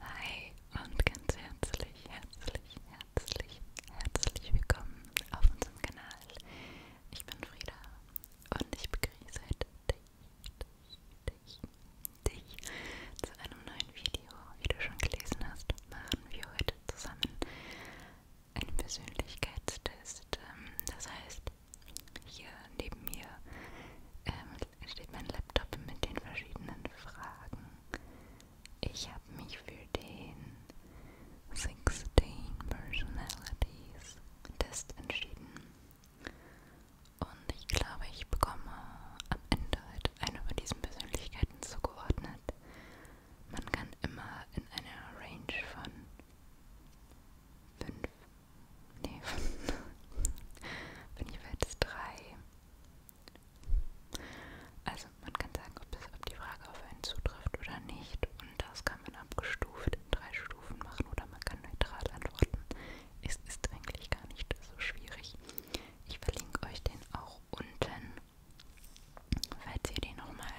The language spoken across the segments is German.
Hi und ganz herzlich, herzlich, herzlich, herzlich willkommen auf unserem Kanal. Ich bin Frieda und ich begrüße heute dich, dich, dich zu einem neuen Video. Wie du schon gelesen hast, machen wir heute zusammen einen Persönlichkeitstest. Ähm, das heißt, hier neben mir ähm, steht mein Laptop mit den verschiedenen Fragen. Ich habe mich für den 16 Personalities Test entschieden. Und ich glaube, ich bekomme am Ende halt eine von diesen Persönlichkeiten zugeordnet. Man kann immer in einer Range von 5, nee, wenn ich werde es 3. Also man kann sagen, ob, das, ob die Frage auf einen zutrifft oder nicht. Und das kann man abgestuft in drei Stufen machen oder man kann neutral antworten. Es ist eigentlich gar nicht so schwierig. Ich verlinke euch den auch unten Falls ihr die nochmal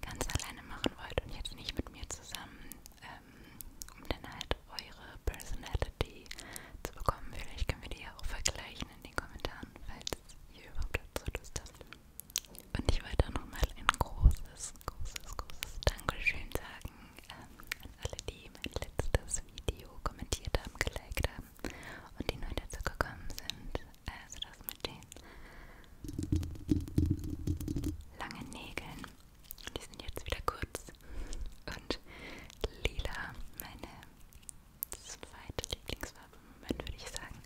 ganz alleine machen wollt und jetzt nicht mit mir zusammen, ähm, um dann halt eure Personality zu bekommen, vielleicht können wir die ja auch vergleichen in den Kommentaren, falls ihr überhaupt dazu Lust habt. Und ich wollte auch nochmal ein großes, großes, großes Dankeschön sagen ähm, an alle, die mein letztes Video kommentiert haben, geliked haben und die neu dazu gekommen sind also das mit den langen Nägeln. Die sind jetzt wieder kurz und lila, meine zweite Lieblingsfarbe im Moment, würde ich sagen.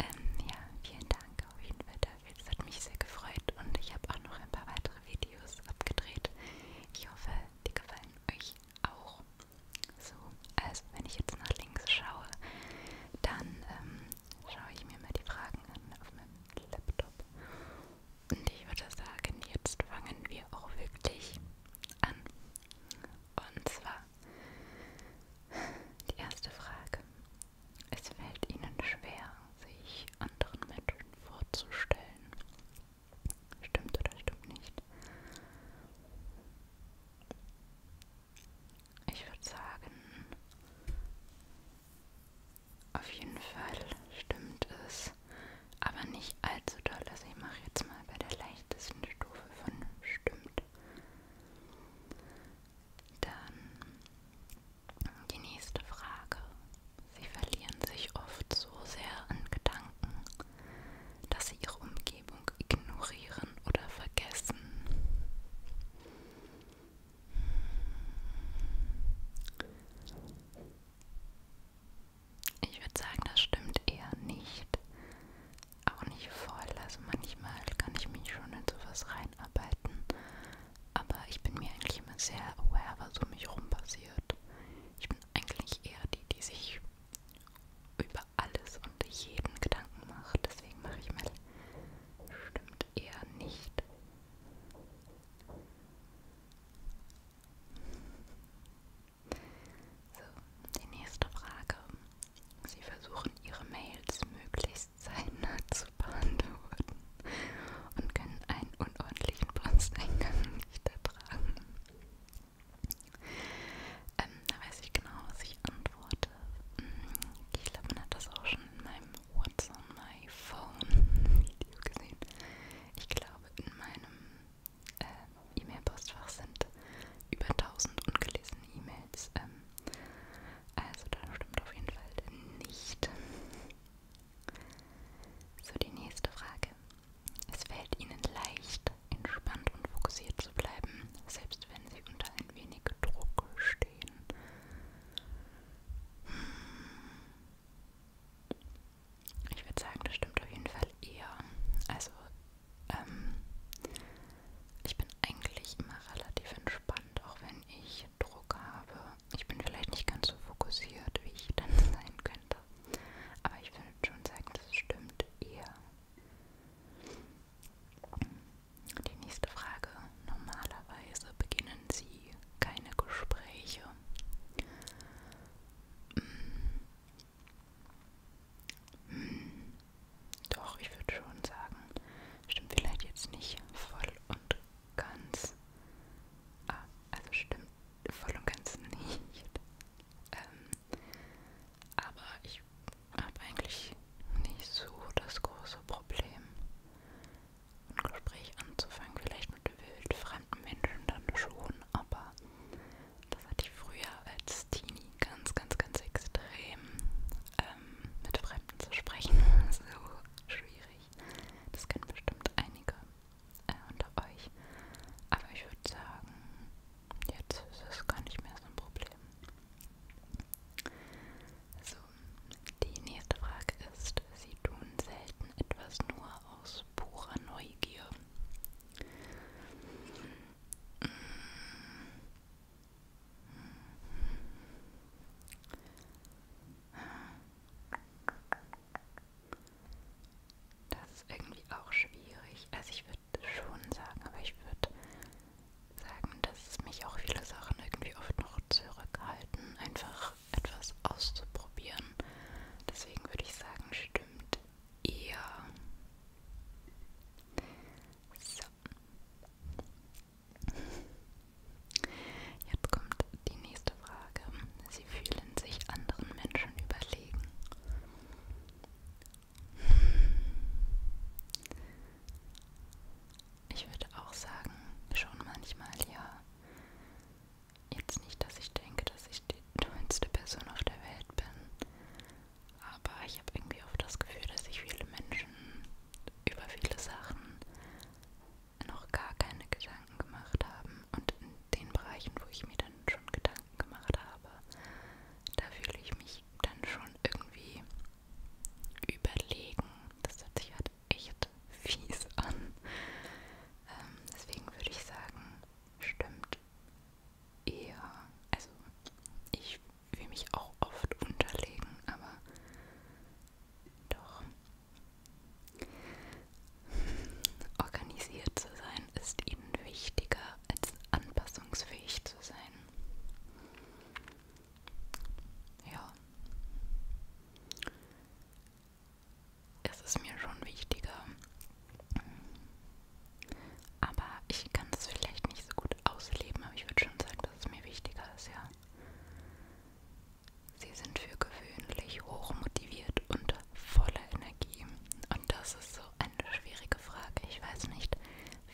Ähm, ja, vielen Dank auf jeden Fall dafür. Das hat mich sehr gefreut und ich habe auch noch ein paar weitere Videos abgedreht. Ich hoffe, die gefallen euch auch. So, also wenn ich jetzt nach links schaue, dann ähm, schaue ich mir mal die Fragen an auf meinem Laptop. Und ich würde sagen, jetzt fangen wir auch wirklich an. Und zwar die erste Frage. Es fällt Ihnen schwer, sich anderen Menschen vorzustellen. Stimmt oder stimmt nicht? Ich würde sagen, auf jeden Fall stimmt es, aber nicht allzu doll. Also ich mache jetzt mal bei der leichtesten Stufe von stimmt. Dann die nächste Frage. Sie verlieren sich oft so sehr in Gedanken, dass sie ihre Umgebung ignorieren oder vergessen. Ich würde sagen, das stimmt eher nicht. Auch nicht voll. Also manchmal kann ich mich schon in sowas reinarbeiten. Aber ich bin mir eigentlich immer sehr aware, was um mich rum passiert. Ich bin eigentlich eher die, die sich über alles und jeden Gedanken macht. Deswegen mache ich mal stimmt eher nicht. So, die nächste Frage. Sie versuchen ihre Mails möglichst zeitnah zu beantworten und können einen unordentlichen Posteingang nicht ertragen. Ähm, da weiß ich genau, was ich antworte. Mhm. Ich glaube, man hat das auch schon in meinem What's on my phone Video gesehen. Ich glaube, in meinem äh, E-Mail-Postfach sind über 1000 ungelesene E-Mails. Ähm, also da stimmt auf jeden Fall nicht. So, die nächste Frage. Es fällt Ihnen leicht, entspannt und fokussiert zu bleiben, selbst wenn sie unter ein wenig Druck stehen. Hm. Ich würde sagen, das stimmt auf jeden Fall eher. Also, ähm, ich bin eigentlich immer relativ entspannt, auch wenn ich Druck habe. Ich bin vielleicht nicht ganz so fokussiert, wie ich dann sein könnte. Aber ich würde schon sagen, das stimmt eher. Die nächste Frage. Normalerweise beginnen Sie keine Gespräche. Hm. hm. Doch, ich würde schon sagen, stimmt vielleicht jetzt nicht voll und ganz. Ah, also stimmt voll und ganz nicht. Ähm, aber ich habe eigentlich nicht so das große Problem, ein Gespräch anzufangen. Vielleicht mit wildfremden Menschen dann schon, aber das hatte ich früher als Teenie ganz, ganz, ganz extrem. Ähm, mit Fremden zu sprechen, so schwierig. Das kennen bestimmt einige äh, unter euch. Aber ich würde sagen, Jetzt ist es gar nicht mehr so ein Problem. So, die nächste Frage ist, Sie tun selten etwas nur aus purer Neugier. Das ist irgendwie auch schwierig. Also ich würde schon sagen, aber ich würde sagen, dass mich auch viele Sachen irgendwie oft noch zurückhalten, einfach etwas auszuprobieren. Deswegen würde ich sagen, stimmt eher. So. Jetzt kommt die nächste Frage. Sie fühlen sich anderen Menschen überlegen. Ich würde auch sagen, schon manchmal ja. Jetzt nicht, dass ich denke, dass ich die tollste Person auf der Welt bin, aber ich habe irgendwie oft das Gefühl, dass ich viele Menschen über viele Sachen noch gar keine Gedanken gemacht haben und in den Bereichen, wo ich mir dann schon Gedanken gemacht habe, da fühle ich mich dann schon irgendwie überlegen. Das hört sich halt echt fies an. Ähm, deswegen würde ich sagen, stimmt eher. Also ich will mich auch oft unterlegen, aber doch organisiert zu sein sein ist ihnen wichtiger als anpassungsfähig zu sein. Ja. Es ist mir schon wichtiger. Aber ich kann es vielleicht nicht so gut ausleben, aber ich würde schon sagen, dass es mir wichtiger ist, ja. Sie sind für gewöhnlich hochmotiviert und voller Energie? Und das ist so eine schwierige Frage. Ich weiß nicht,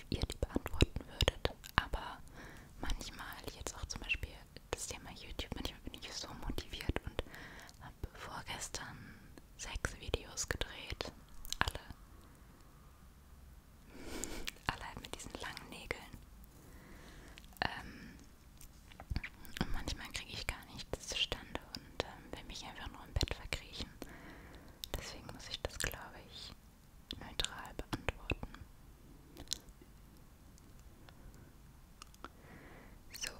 wie ihr die beantworten würdet, aber manchmal, jetzt auch zum Beispiel das Thema YouTube, manchmal bin ich so motiviert und habe vorgestern sechs Videos gedreht. Alle. Alle mit diesen langen Nägeln. Ähm, und manchmal kriege ich gar nichts zustande und und ähm, will mich einfach nur im Bett verkriechen. Deswegen muss ich das, glaube ich, neutral beantworten. So,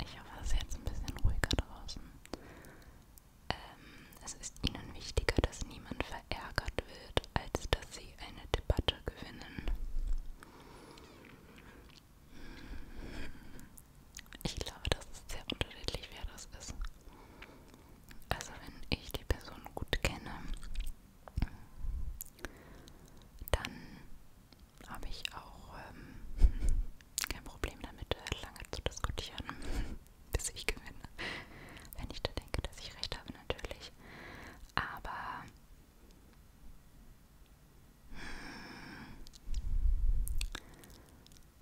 ich hoffe, es ist jetzt ein bisschen ruhiger draußen. Ähm, es ist Ihnen wichtiger, dass niemand verärgert wird, als dass Sie eine Debatte gewinnen. Ich glaube, das ist sehr unterschiedlich, wer das ist. Also wenn ich die Person gut kenne, dann habe ich auch ähm, kein Problem damit, äh, lange zu diskutieren, bis ich gewinne. Wenn ich da denke, dass ich recht habe, natürlich. Aber hm.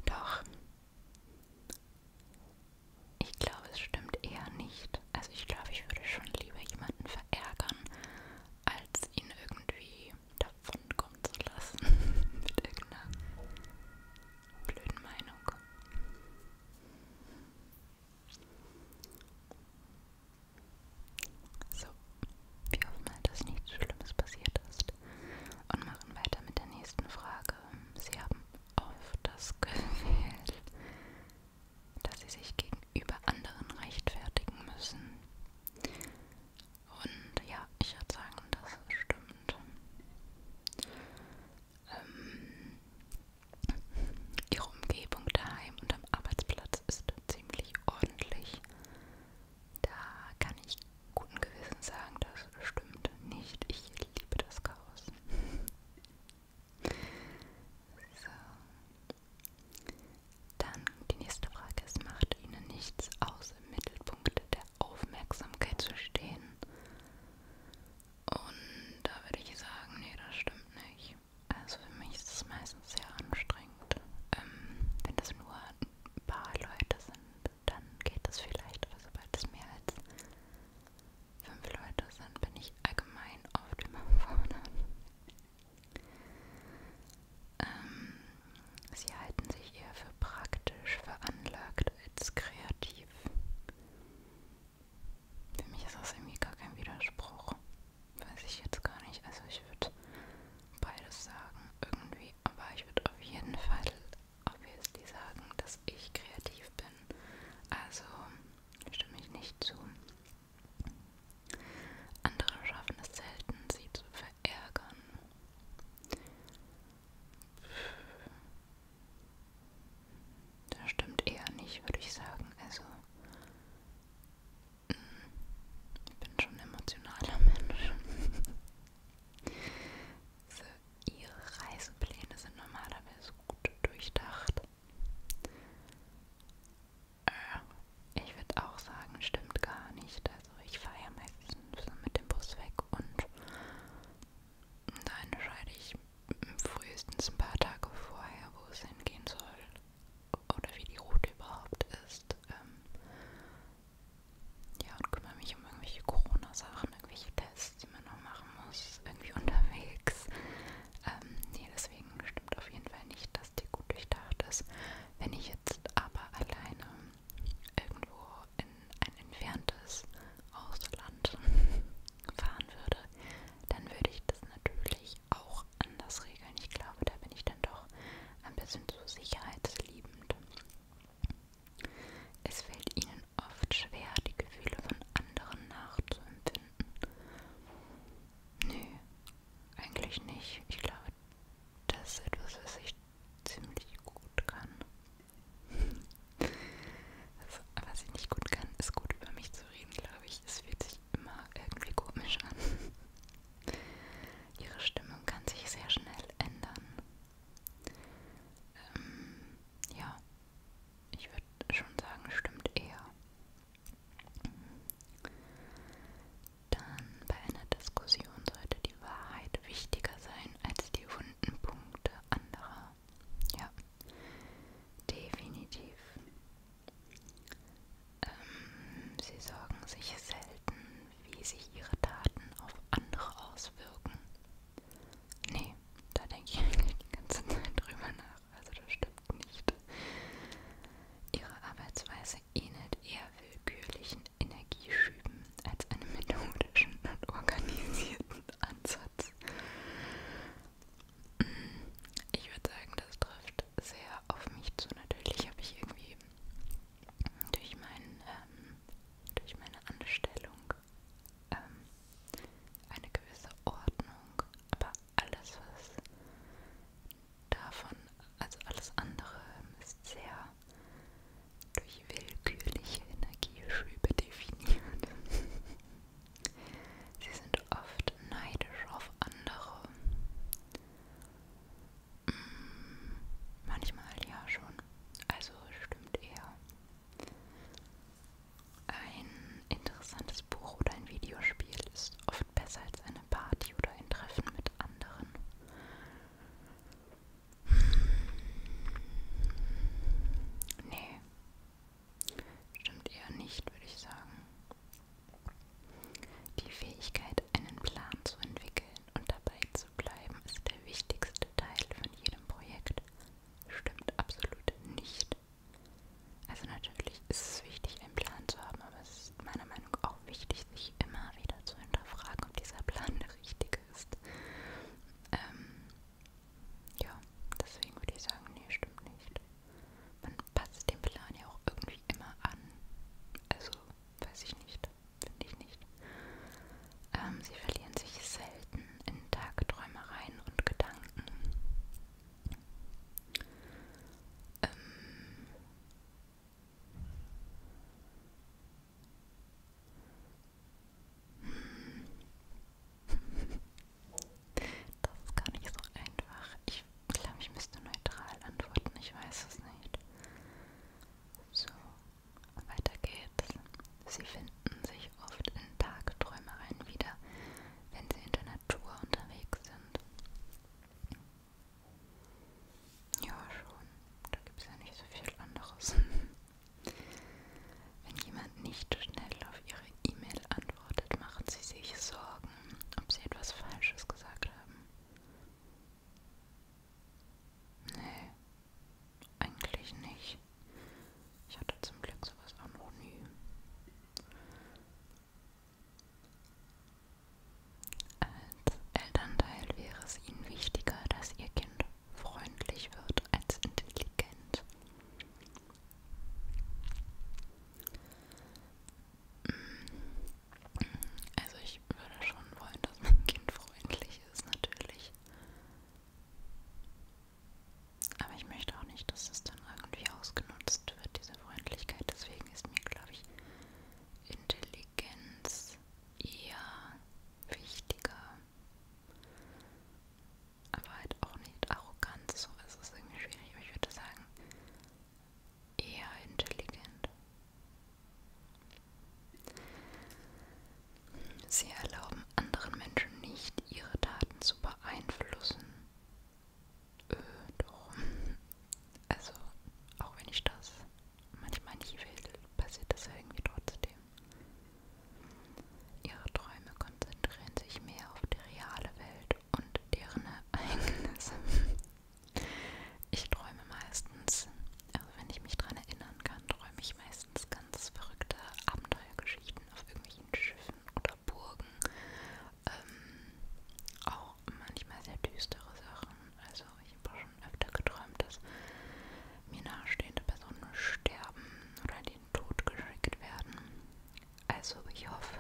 Doch. Ich glaube, es stimmt eher nicht. Also ich glaube, ich würde schon lieber jemanden verärgern, als ihn irgendwie davonkommen zu lassen. Mit irgendeiner blöden Meinung. So, wir hoffen mal, dass nichts Schlimmes passiert ist. Und machen weiter mit der nächsten Frage. Sie haben oft das Gefühl, dass Sie sich gegenüber anderen rechtfertigen müssen. Und ja, ich würde sagen, das stimmt. Ähm, ihre Umgebung daheim und am Arbeitsplatz ist ziemlich ordentlich. Da kann ich guten Gewissens sagen, das stimmt nicht. Ich liebe das Chaos. so. Dann die nächste Frage ist, macht Ihnen nichts aus, im Mittelpunkt der Aufmerksamkeit zu stehen? Und da würde ich sagen, nee, das stimmt nicht. Also für mich ist es meistens sehr anstrengend, ähm, wenn das nur ein paar Leute sind, dann geht das vielleicht, aber also, sobald es mehr als fünf Leute sind, bin ich allgemein oft überfordert. Ähm, sie halten sich eher für praktisch, veranlagt als kreativ. Für mich ist das irgendwie gar kein Widerspruch. Weiß ich jetzt gar nicht. Also ich würde beides sagen irgendwie. Aber ich würde auf jeden Fall obviously sagen, dass ich kreativ bin. Also stimme ich nicht zu. Andere schaffen es selten, sie zu verärgern. Das stimmt eher nicht, würde ich sagen. Also ich bin schon ein emotionaler Mensch. so, ihre Reisepläne sind normalerweise gut durchdacht. Äh, ich würde auch sagen, stimmt gar nicht. Also ich fahre ja meistens mit dem Bus weg und da entscheide ich frühestens ein paar Tage vorher, wo es hingehen soll oder wie die Route überhaupt ist. Ähm, ja, und kümmere mich um irgendwelche Corona-Sachen, irgendwelche Tests, die man noch machen muss, irgendwie unterwegs. Ähm, nee, deswegen stimmt auf jeden Fall nicht, dass die gut durchdacht ist. Wenn ich jetzt aber alleine irgendwo in ein entferntes Ausland fahren würde, dann würde ich das natürlich ich auch anders regeln. Ich glaube, da bin ich dann doch ein bisschen zu sicherheitsliebend. Es fällt ihnen oft schwer, die Gefühle von anderen nachzuempfinden. Nö, eigentlich nicht. Ich glaube, das ist etwas, was ich ziemlich gut kann. Also, was ich nicht gut kann, ist gut über mich zu reden, glaube ich. Es fühlt sich sich immer irgendwie komisch an. Ihre Stimmung kann sich sehr schnell ändern. Ähm, ja, ich würde schon sagen, stimmt eher. Dann bei einer Diskussion sollte die Wahrheit wichtiger sein als die wunden Punkte anderer. Ja, definitiv. Ähm, sie sorgen sich selten, wie sich ihre Taten auf andere auswirken. Nee, da denke ich eigentlich die ganze Zeit drüber nach. Also das stimmt nicht. Ihre Arbeitsweise ähnelt eher willkürlichen Energieschüben als einem methodischen und organisierten Ansatz. Ich würde sagen, das trifft sehr auf mich zu. Natürlich habe ich irgendwie durch, mein, ähm, durch meine Anstellung ähm, eine gewisse Ordnung, aber alles, was davon, also alles andere ist sehr durch willkürliche Energieschübe definiert. Sie sind oft neidisch auf andere Mm, manchmal ja schon. Also stimmt eher. Ein interessantes Buch oder ein Videospiel ist oft besser als eine Party oder ein Treffen mit anderen. Nee. Stimmt eher nicht, würde ich sagen. Die Fähigkeit, einen Plan zu entwickeln und dabei zu bleiben, ist der wichtigste Teil von jedem Projekt. Stimmt absolut nicht. Also natürlich ist es wichtig, einen Plan zu haben, aber es ist meiner Meinung nach auch wichtig, sich immer wieder zu hinterfragen, ob dieser Plan der richtige ist. Ähm, ja, deswegen würde ich sagen, nee, stimmt nicht man passt den Plan ja auch irgendwie immer an. Also, weiß ich nicht, finde ich nicht. Ähm, sie verlieren sich selten in Tagträumereien und Gedanken. Ähm, das ist gar nicht so einfach. Ich glaube, ich müsste neutral antworten. Ich weiß es nicht. So, weiter geht's. Sie finden sich oft in Tagträumereien wieder, wenn sie in der Natur unterwegs sind. Ja, schon. Da gibt es ja nicht so viel anderes. Wenn jemand nicht schnell auf ihre E-Mail antwortet, beantwortet, machen Sie sich Sorgen, ob Sie etwas Falsches gesagt haben? Nee, eigentlich nicht. Ich hatte zum Glück sowas auch noch nie. Als Elternteil wäre es Ihnen wichtiger, dass Ihr Kind freundlich wird als intelligent. Also ich würde schon wollen, dass mein Kind freundlich ist, natürlich. Aber ich möchte auch nicht, dass es dann irgendwie ausgenutzt wird, diese Freundlichkeit. Deswegen ist mir, glaube ich, Intelligenz eher wichtiger. Aber halt auch nicht arrogant. So, es ist irgendwie schwierig. Aber ich würde sagen, eher intelligent. Sie erlauben anderen Menschen nicht, ihre Taten zu beeinflussen. Äh, doch. Also, auch wenn ich das manchmal nicht will, passiert das ja irgendwie trotzdem. Ihre Träume konzentrieren sich mehr auf die reale Welt und deren Ereignisse. Ich träume meistens, also wenn ich mich daran erinnern kann, träume ich meistens ganz verrückte Abenteuergeschichten auf irgendwelchen Schiffen oder Burgen. Ähm, auch manchmal sehr düstere Sachen. Also ich habe schon öfter geträumt, dass mir nahestehende Personen sterben oder den Tod geschickt werden. Also ich hoffe,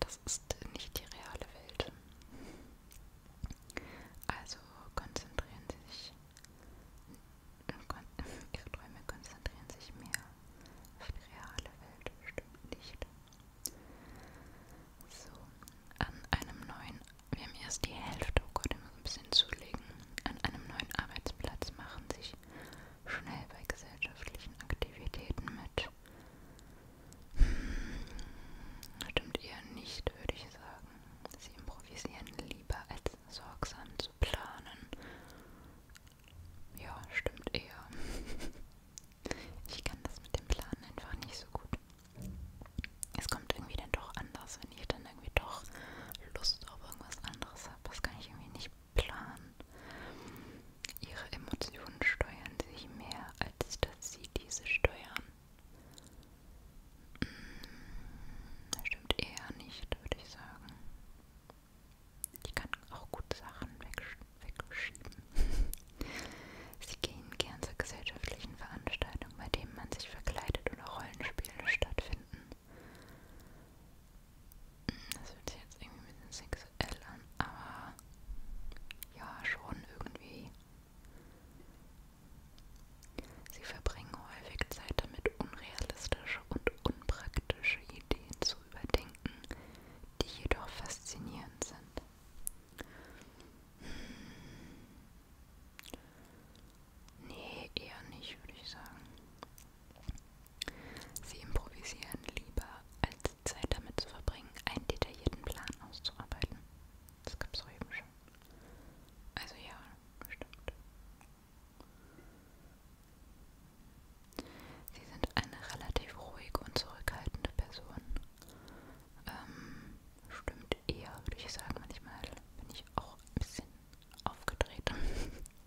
das ist nicht die reale Welt. Also konzentrieren Sie sich, Ihre Träume konzentrieren sich mehr auf die reale Welt, stimmt nicht. So, an einem neuen, wir haben erst die Hälfte, oh Gott, ich muss ein bisschen zulegen, an einem neuen Arbeitsplatz machen sich schnell bei gesellschaftlichen Aktivitäten mit. Stimmt eher nicht, würde ich sagen. Sie improvisieren lieber, als sorgsam zu planen. Ja, stimmt eher. Ich kann das mit dem Planen einfach nicht so gut. Es kommt irgendwie dann doch anders, wenn ich dann irgendwie doch Lust auf irgendwas anderes habe. Das kann ich irgendwie nicht planen. Ihre Emotionen steuern sich mehr, als dass sie diese steuern. Mm, das stimmt eher nicht, würde ich sagen. Ich kann auch gut Sachen wegschieben. Sie gehen gern zu gesellschaftlichen Veranstaltungen, bei denen man sich verkleidet oder Rollenspiele stattfinden. Das fühlt sich jetzt irgendwie ein bisschen sexuell an, aber ja, schon irgendwie. Sie verbringen häufig Zeit damit, unrealistische und unpraktische Ideen zu überdenken, die jedoch faszinierend sind. Hm. Nee, eher nicht, würde ich sagen. Sie improvisieren lieber, als Zeit damit zu verbringen, einen detaillierten Plan auszuarbeiten. Das gab es eben schon. Also ja, stimmt. Sie sind eine relativ ruhige und zurückhaltende Person. Ähm, stimmt eher, würde ich sagen, manchmal bin ich auch ein bisschen aufgedreht.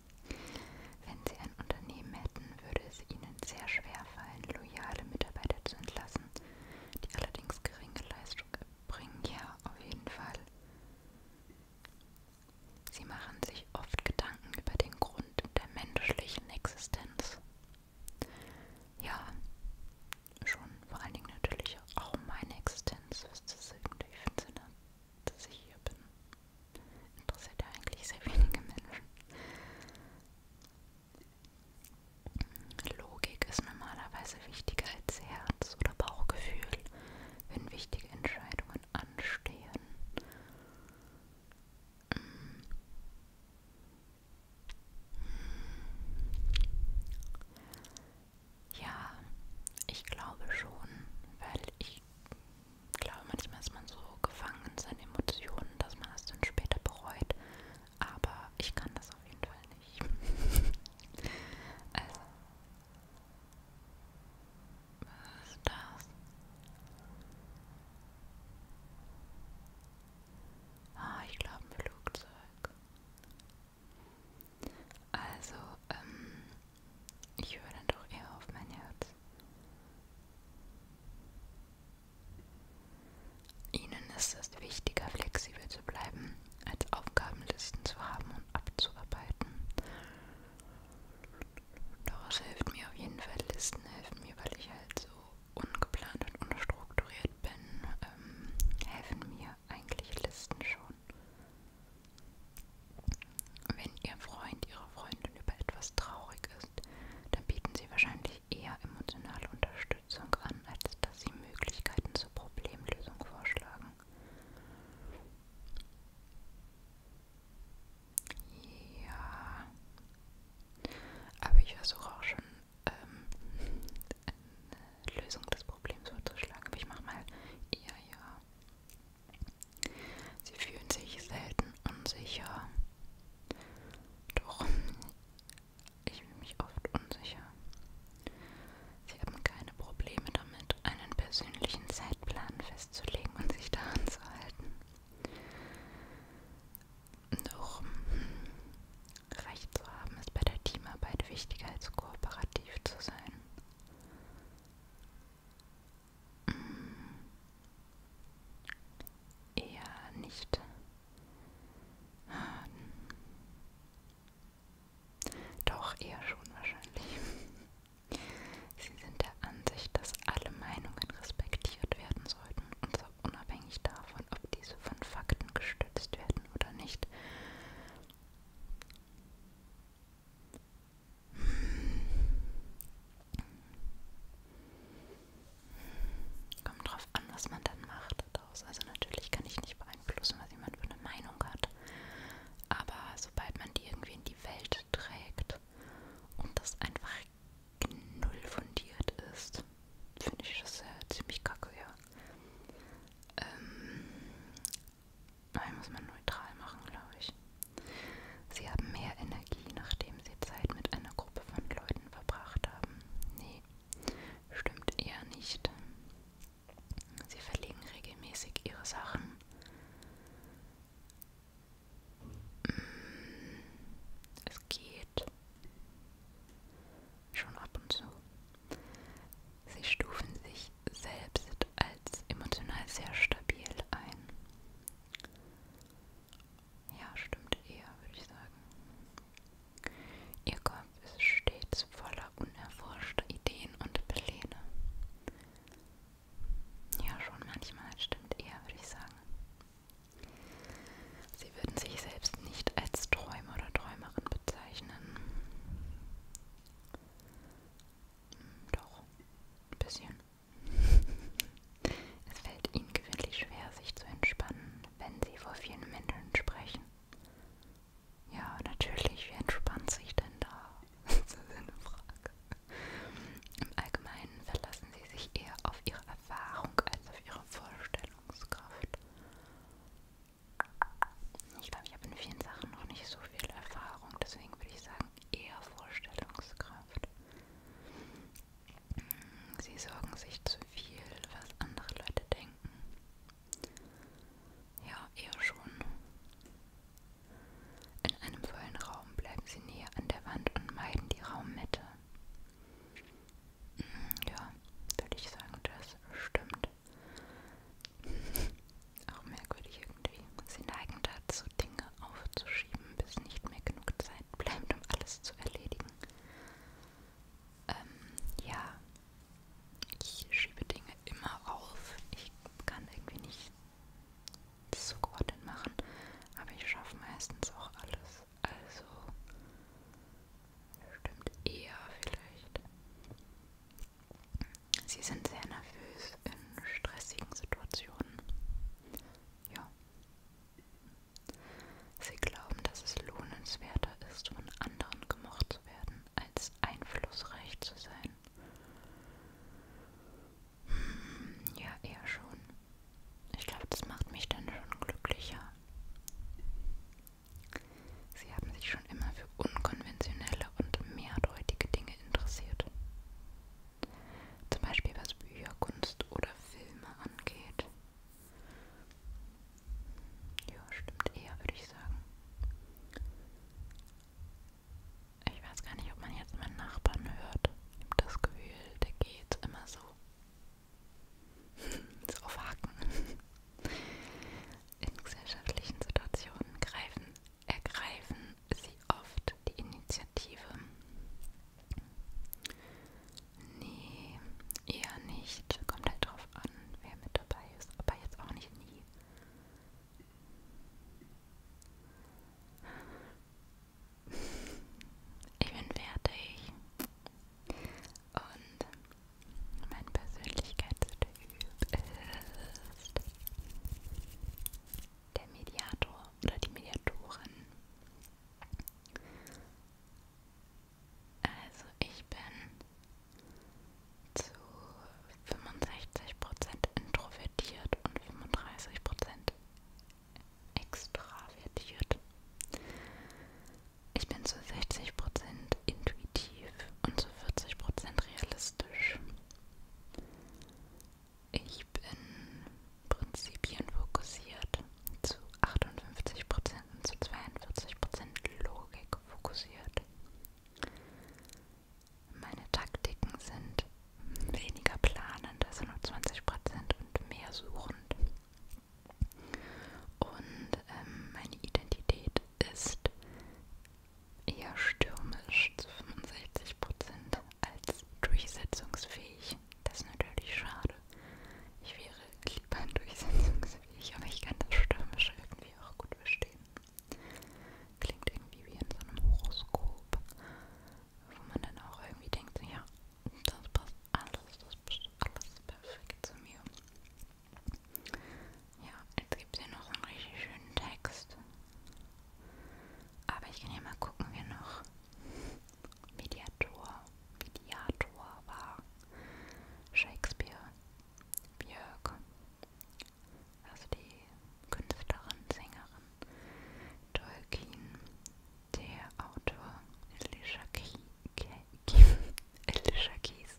Wenn Sie ein Unternehmen hätten, würde es Ihnen sehr schwer fallen, loyale Mitarbeiter zu entlassen, die allerdings geringe Leistung erbringen. Ja, auf jeden Fall. Sie machen sich oft Gedanken über den Grund der menschlichen Existenz. Ja, schon vor allen Dingen natürlich auch meine Existenz, was das irgendwie Sinne, dass ich hier bin. Interessiert ja eigentlich sehr wenige Menschen. Logik ist normalerweise wichtiger als Herz oder Bauchgefühl, wenn wichtige Entscheidungen anstehen. Hm. Ja, ich glaube schon, weil ich ich glaube, manchmal ist man so gefangen in seinen Emotionen, dass man es dann später bereut. Aber ich kann das auf jeden Fall nicht. also. Was ist das? Ah, ich glaube ein Flugzeug. Also, ähm, ich höre dann doch eher auf mein Herz. Ihnen ist es wichtiger, flexibel zu bleiben, als Aufgabenlisten zu haben und abzuarbeiten. Doch es hilft mir auf jeden Fall, Listen helfen mir, weil ich halt so ungeplant und unstrukturiert bin, ähm, helfen mir eigentlich Listen schon. Wenn Ihr Freund, Ihre Freundin über etwas traurig ist, dann bieten Sie wahrscheinlich eher emotionale Unterstützung an, als dass Sie Möglichkeiten zur Problemlösung vorschlagen. Ja, aber ich versuche auch schon ähm, eine Lösung des Problems vorzuschlagen. Aber ich mache mal eher ja. Sie fühlen sich selten unsicher. Doch ich fühle mich oft unsicher. Sie haben keine Probleme damit, einen persönlichen Zeitplan festzulegen und sich daran zu halten. Doch hm, Recht zu haben ist bei der Teamarbeit wichtiger als kooperativ zu sein. Eher nicht. Doch, eher schon wahrscheinlich. Sie sind der Ansicht, dass alle Meinungen respektiert werden sollten, und zwar unabhängig davon, ob diese von Fakten gestützt werden oder nicht. Kommt drauf an, was man dann macht daraus. Also natürlich kann ich nicht beeinflussen, was jemand für eine Meinung hat. Aber sobald man die irgendwie in die Welt trägt und das einfach null fundiert ist, finde ich das äh, ziemlich kacke, ja. Ähm, Nein, muss man neutral machen, glaube ich. Sie haben mehr Energie, nachdem sie Zeit mit einer Gruppe von Leuten verbracht haben. Nee, stimmt eher nicht. Sie verlegen regelmäßig ihre Sachen. Mm, es geht schon ab und zu. Sie stufen sich selbst als emotional sehr stabil ein. Ja, stimmt eher, würde ich sagen. Ihr Kopf ist stets voller unerforschter Ideen und Pläne. Ja, schon manchmal stimmt eher, würde ich sagen. Sie würden sich selbst nicht als Träumer oder Träumerin bezeichnen. Hm, doch, ein bisschen. Es fällt ihnen gewöhnlich schwer, sich zu entspannen, wenn sie vor vielen Menschen sprechen. Ja, natürlich, wie entspannt sich denn da? das ist eine Frage. Im Allgemeinen verlassen sie sich eher auf ihre Erfahrung als auf ihre Vorstellungskraft. Ich glaube, ich habe in vielen Sachen noch nicht so viel Erfahrung, deswegen würde ich sagen, eher Vorstellungskraft. Sie sorgen sich zu viel, was andere Leute denken. Ja, eher schon. In einem vollen Raum bleiben sie näher an der Wand und meiden die Raummitte. Mhm, ja, würde ich sagen, das stimmt. Auch merkwürdig irgendwie. Sie neigen dazu, Dinge aufzuschieben, bis nicht mehr genug Zeit bleibt, um alles zu erledigen. Ähm, ja. Ich schiebe Dinge immer auf. Ich kann irgendwie nicht zugeordnet machen. Aber ich schaffe meistens auch alles. Also stimmt eher vielleicht. Sie sind sehr nervös in stressigen Situationen. Ja. Sie glauben, dass es lohnenswerter ist, von anderen gemocht zu werden, als einflussreich zu sein. Hm, ja, eher schon. Ich glaube, das macht mich dann schon glücklicher. Sie haben sich schon immer für unkonventionelle Bilder und mehrdeutige Dinge interessiert. Zum Beispiel was Bücher, Kunst oder Filme angeht. Ja, stimmt eher, würde ich sagen. Ich weiß gar nicht, ob man jetzt meinen Nachbarn hört. Ich habe das Gefühl, der geht immer so. so auf Haken. In gesellschaftlichen Situationen greifen ergreifen sie oft die Initiative. Nee, eher nicht. Kommt halt drauf an, wer mit dabei ist. Aber jetzt auch nicht nie. Ich bin fertig. Und mein Persönlichkeitstyp ist der Mediator oder die Mediatorin. Also ich bin zu 65% introvertiert und 35% extravertiert. Ich bin zu 60% intuitiv und zu 40% realistisch. Ich bin prinzipienfokussiert, zu 58% und zu 42% Logik fokussiert. Meine Taktiken sind weniger planend, also nur 20% und mehr suchend. Und ähm, meine Identität ist eher stürmisch zu 65% als durchsetzungsfähig. Das ist natürlich schade. Ich wäre lieber durchsetzungsfähig, aber ich kann das Stürmische irgendwie auch gut verstehen. Klingt irgendwie wie in so einem Horoskop, wo man dann auch irgendwie denkt, ja, das passt alles, das passt alles perfekt zu mir. Ja, jetzt gibt es hier noch so einen richtig schönen Text. Aber ich kann hier mal gucken, wer noch Mediator, Mediator war. Shakespeare, Björk, also die Künstlerin, Sängerin, Tolkien, der Autor Elisha Keys, Elisha Keys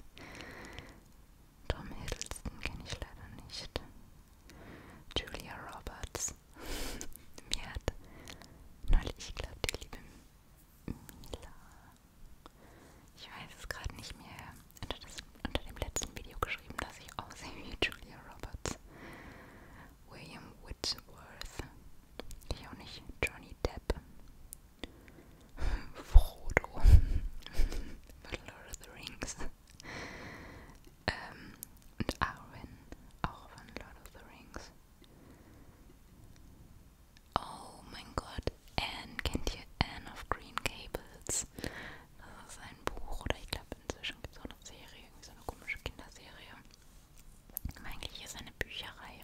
Tom Hiddleston kenne ich leider nicht. Julia Roberts. Mir hat neulich, ich glaube, die liebe Mila. Ich weiß es gerade nicht mehr. Unter, das, unter dem letzten Video geschrieben, dass ich aussehe wie Julia Roberts. William Whitworth. Ich auch nicht. Johnny Depp. Frodo. Lord of the Rings ähm, und Arwen, auch von Lord of the Rings. Oh mein Gott, Anne, kennt ihr Anne of Green Gables? Das ist ein Buch, oder ich glaube inzwischen gibt es auch eine Serie, irgendwie so eine komische Kinderserie. Eigentlich ist eine Bücherreihe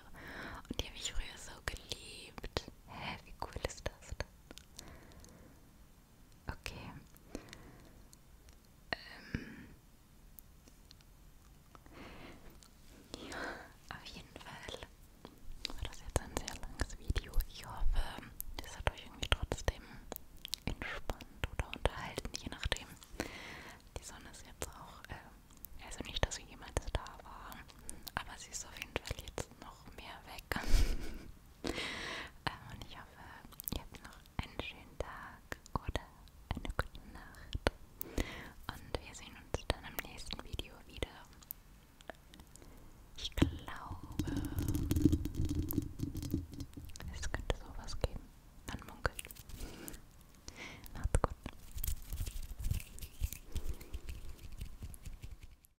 und die habe ich früher so geliebt. Hä, wie cool ist das denn? Okay. Ähm. Ja, auf jeden Fall war das jetzt ein sehr langes Video. Ich hoffe, das hat euch irgendwie trotzdem entspannt oder unterhalten, je nachdem. Die Sonne ist jetzt auch, äh, also nicht, dass sie jemals da war, aber sie ist auf jeden Fall jetzt noch mehr weg. Ähm, und ich hoffe, ihr habt noch einen schönen Tag oder eine gute Nacht. Und wir sehen uns dann im nächsten Video wieder. Ich glaube, es könnte sowas geben. Man munkelt. Macht's gut.